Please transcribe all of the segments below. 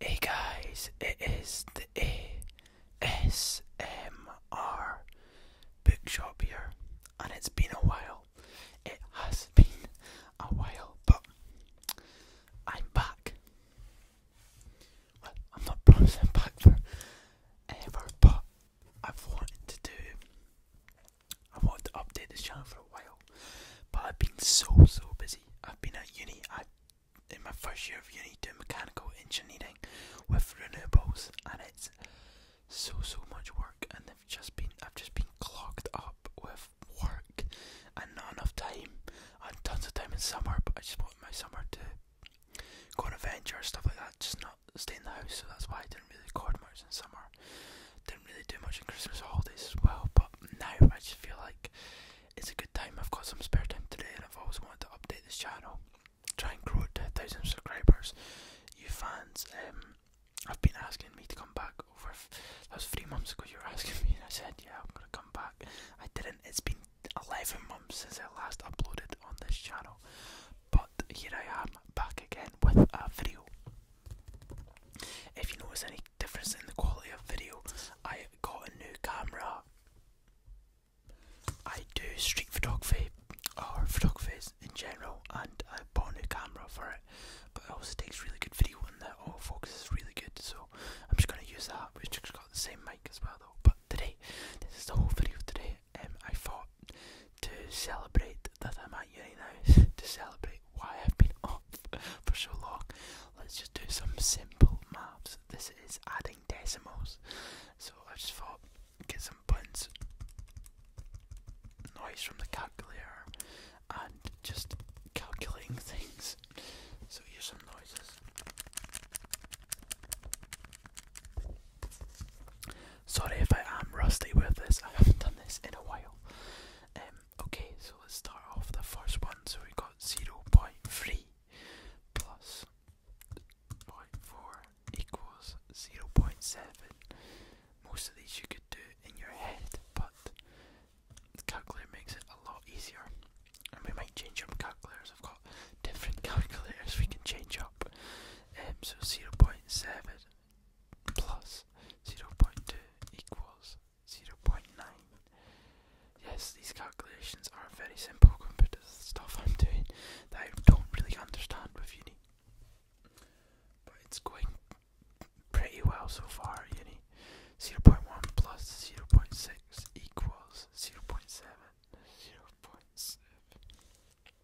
Hey guys, it is the ASMR bookshop here, and it's been a while. It has been a while, but I'm back. Well, I'm not promising back for ever, but I've wanted to do. I wanted to update this channel for a while, but I've been so so busy. I've been at uni in my first year of uni doing mechanical engineering with renewables, and it's so so much work, and I've just been I've just been clogged up with work and not enough time. I had tons of time in summer, but I just want my summer to go on adventure stuff like that, just not stay in the house. So that's why I didn't really record much in summer. Didn't really do much in Christmas holidays as well, but now I just feel like it's a good time. I've got some spare time today, and I've always wanted to update this channel, try and grow to a thousand subscribers. You fans, um, have been asking me to come back over. That was three months ago. You were asking me, and I said, "Yeah, I'm gonna come back." I didn't. It's been eleven months since I last uploaded on this channel, but here I am back again with a video. If you notice any difference in the quality of video. I got a new camera. I do street photography or photography in general, and I bought a new camera for it. But it also takes really good video, and the auto focus is really good. So I'm just gonna use that. We've just got the same mic as well, though. But today, this is the whole video today. Um, I thought to celebrate that I'm at uni now. to celebrate why I've been off for so long. Let's just do some simple maths. This is adding decimals. So I just thought, get some points, noise from the calculator, and just calculating things. So here's some noises. Sorry if I am rusty with this, I haven't done this in a while. Um, Okay, so let's start off the first one. So we got 0.3 plus 0 equals 0.7. Most of these you could do in your head, but the calculator makes it a lot easier. And we might change up calculators. I've got different calculators we can change up. Um, so 0.7 0.2 equals 0.9. Yes, these calculations are very simple compared to the stuff I'm doing that I don't really understand But it's going pretty well so far, uni. 0 0.1 plus 0.6 equals 0.7. 0.7.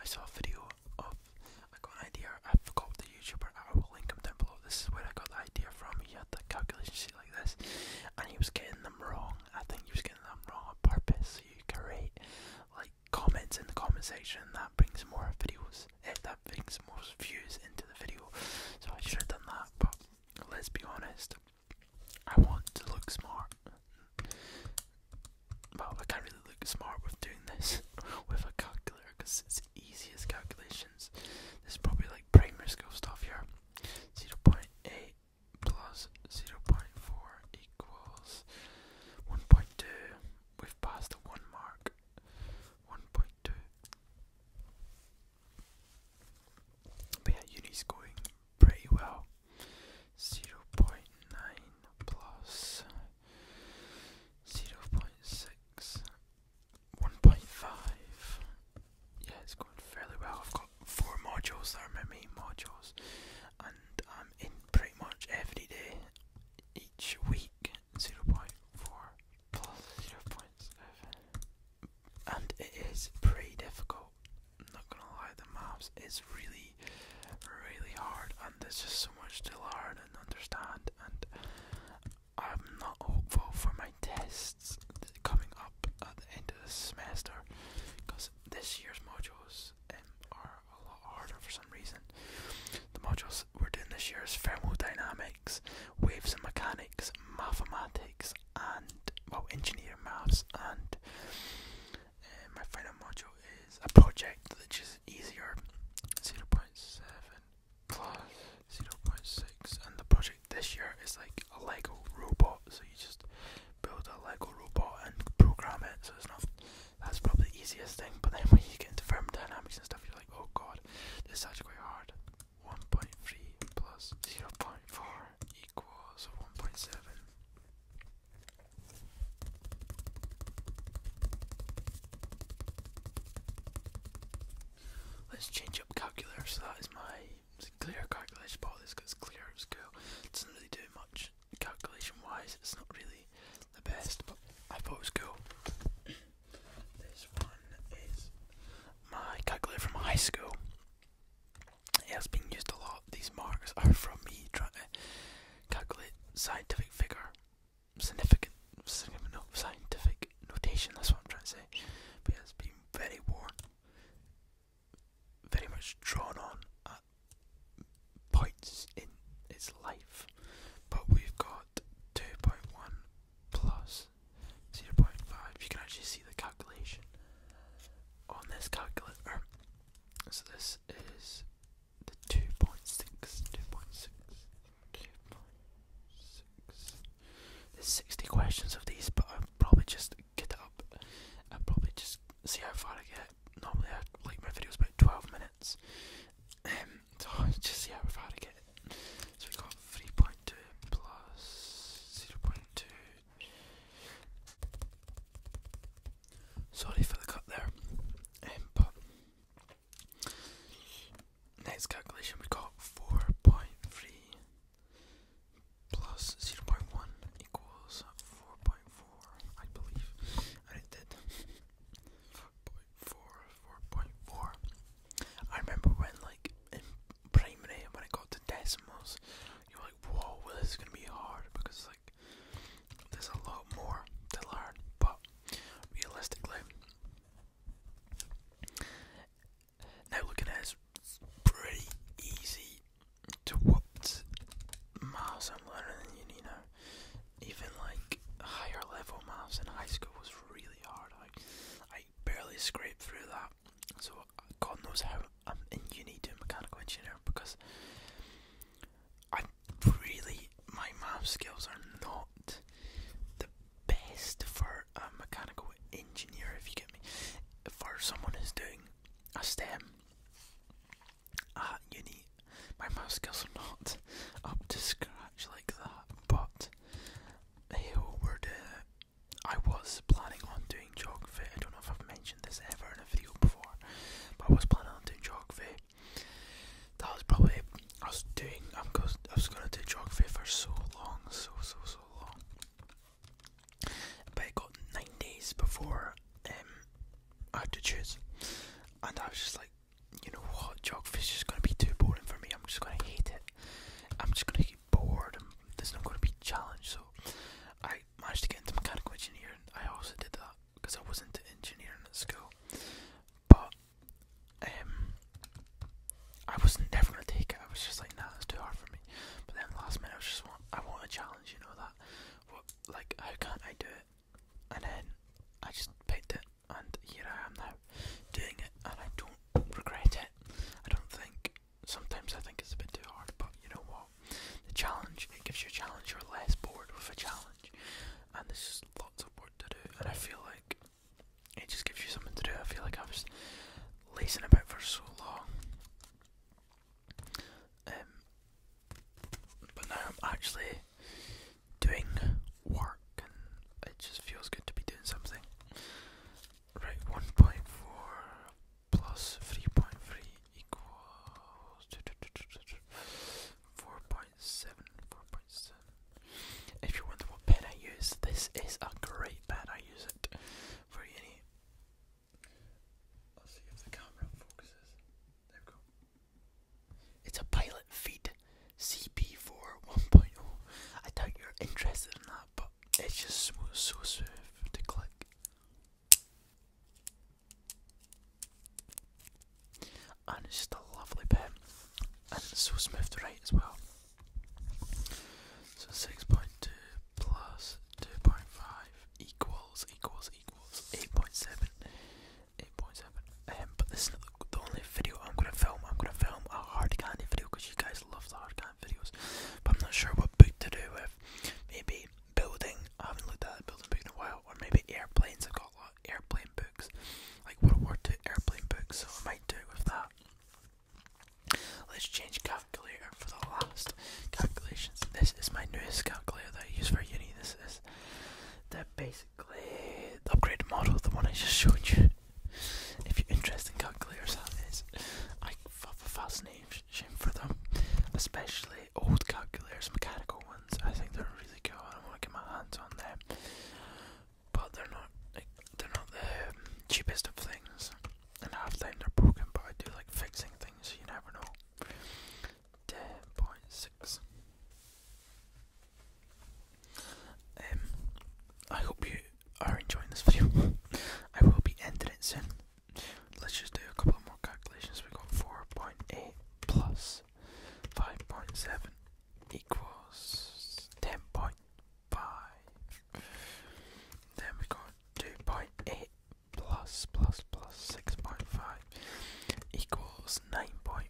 I saw a video of, I got an idea, I forgot the YouTuber, I will link him down below, this is where I got the idea from, he had the calculation sheet like this, and he was getting them wrong, I think he was getting them wrong on purpose, so you create, like, comments in the comment section, that brings more videos, if eh, that brings more views into the video, so I should have done that, but let's be honest, I want to look smart, but I can't really look smart with doing this with a calculator because it's the easiest calculations. This is probably like primary school stuff here. 0.8 plus 0.4 equals 1.2. We've passed the 1 mark. 1.2. But yeah, uni's going pretty well zero point nine plus zero 0.6, 1.5. Yeah, it's going fairly well. I've got four modules that are my main modules and I'm in pretty much every day each week zero point four 0.5, and it is pretty difficult i not gonna lie, the maps is really, really hard, and there's just so much to learn and understand. And I'm not hopeful for my tests coming up at the end of the semester, because this year's modules um, are a lot harder for some reason. The modules we're doing this year is thermodynamics, waves and mechanics, mathematics, and well, engineer maths and and my final module is a project which is easier 0 0.7 plus 0.6. And the project this year is like a Lego robot. So you just build a Lego robot and program it. So it's not, that's probably the easiest thing. But then when you get into thermodynamics and stuff, you're like, oh god, this is such a quite hard. 1.3 plus 0.4 equals 1.7. Let's change up calculator, so that is my clear calculation part this because clear at school. It doesn't really do much calculation wise, it's not really the best, but I thought it was cool. this one is my calculator from high school. It has been used a lot. These marks are from me trying to calculate scientific figure, significant, no, scientific notation. That's what I'm trying to say. But it's been very worn, very much drawn on at points in its life. But we've got 2.1 plus 0.5. You can actually see the calculation on this calculator. So this is the 2.6, There's 60 questions of these, but I'll probably just get up and probably just see how far I get. Normally, I like my videos about 12 minutes, um, just see how far I get. So we got 3.2 plus 0.2 Sorry for the cut there, um, next calculation we got 4.3 plus 0.1 equals 4.4, I believe, and did. 4.4, I remember when, like, in primary, when I got to decimals, you're like, whoa, well, this is gonna be hard because like there's a lot more to learn. But realistically, now looking at it's pretty easy to what maths I'm learning in uni Even like higher level maths in high school was really hard. I I barely scraped through that. So God knows how I'm in uni doing mechanical engineering because I really my math skills are not the best for a mechanical engineer if you get me. For someone who's doing a STEM at uni, my math skills are not up to scratch like that, but hey, we're I was planning on doing geography. I don't know if I've mentioned this ever in a video before, but I was planning on doing geography. That was probably I was doing. i was going to do geography for so long, so so so long. But it got nine days before um, I had to choose, and I was just like, you know what, geography is just going to be too boring for me. I'm just going to hate it. I'm just going to bored and there's not going to be challenge. So I managed to get into mechanical engineering. I also did that because I was into engineering at school, but um, I was never going to take it. I was just like, nah, that's too hard for me. But then last minute, I was just like, I want a challenge. You know that, what, like, how can't I do it? And then I just picked it, and here I am now doing it, and I don't regret it. I don't think. Sometimes I think it's a bit too hard, but you know what? The challenge it gives you a challenge. You're less bored with a challenge, and there's just lots of work to do. And I feel like it just gives you something to do. I feel like I was lazing about for so long. Um, but now I'm actually doing work it just feels good to be doing something. Right, 1.4 plus 3.3 equals 4.7, 4.7. If you wonder what pen I use, this is a great pen. I use it for any. Let's see if the camera focuses. There we go. It's a pilot feed. CP4 1.0. I doubt you're interested in that, but it's just so, so smooth to click. And it's just a lovely pen, and it's so smooth to write as well. So 6.2 plus 2.5 equals equals equals 8.7 but this is the only video I'm gonna film. I'm gonna film a hard candy video because you guys love the hard candy videos. But I'm not sure what book to do with. Maybe building. I haven't looked at building books in a while. Or maybe airplanes. I've got a lot of airplane books, like World War II airplane books. So I might do it with that. Let's change calculator for the last calculations. This is my newest calculator that I use for uni. This is the basic the upgraded model, the one I just showed you. If you're interested in calculators, that is. I have got a fascination for them, especially old calculators, mechanical ones. I think they're really cool, and I want to get my hands on them. But they're not they're not the cheapest of things, and half the time they're broken. But I do like fixing things, so you never know. Ten point six. Um, I hope you are enjoying this video. I will be ending it soon. Let's just do a couple more calculations. we got 4.8 plus 5.7 equals 10.5. Then we got 2.8 plus plus plus 6.5 equals 9.5.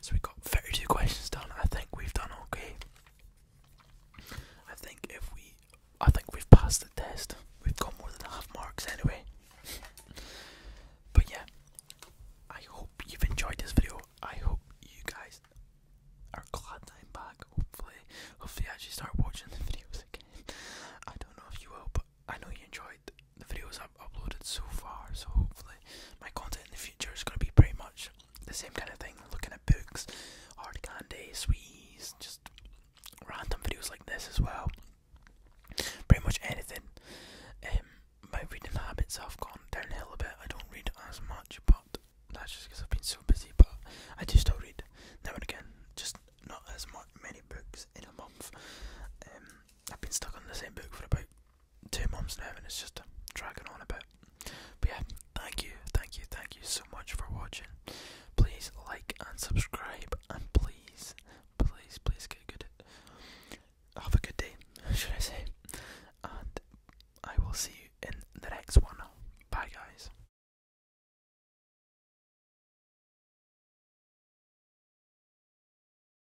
So we got 32 questions done. I think we've done okay. I think if we, I think we've passed the test. We've got more than half marks anyway. but yeah, I hope you've enjoyed this video. I hope you guys are glad that i back. Hopefully, hopefully I actually start watching the videos again. I don't know if you will, but I know you enjoyed the videos i uploaded so far. So hopefully, my content in the future is going to be pretty much the same kind of thing. Looking at books, hard candy, sweets, just random videos like this as well. Pretty much anything. Um, my reading habits have gone downhill a bit. I don't read as much, but that's just because I've been so busy. But I do still read now and again, just not as much many books in a month. Um, I've been stuck on the same book for about two months now and it's just dragging on a bit. But yeah, thank you, thank you, thank you so much for watching. Please like and subscribe and please, please, please get good. Have a good day, should I say. And I will see you in the next one. Bye guys.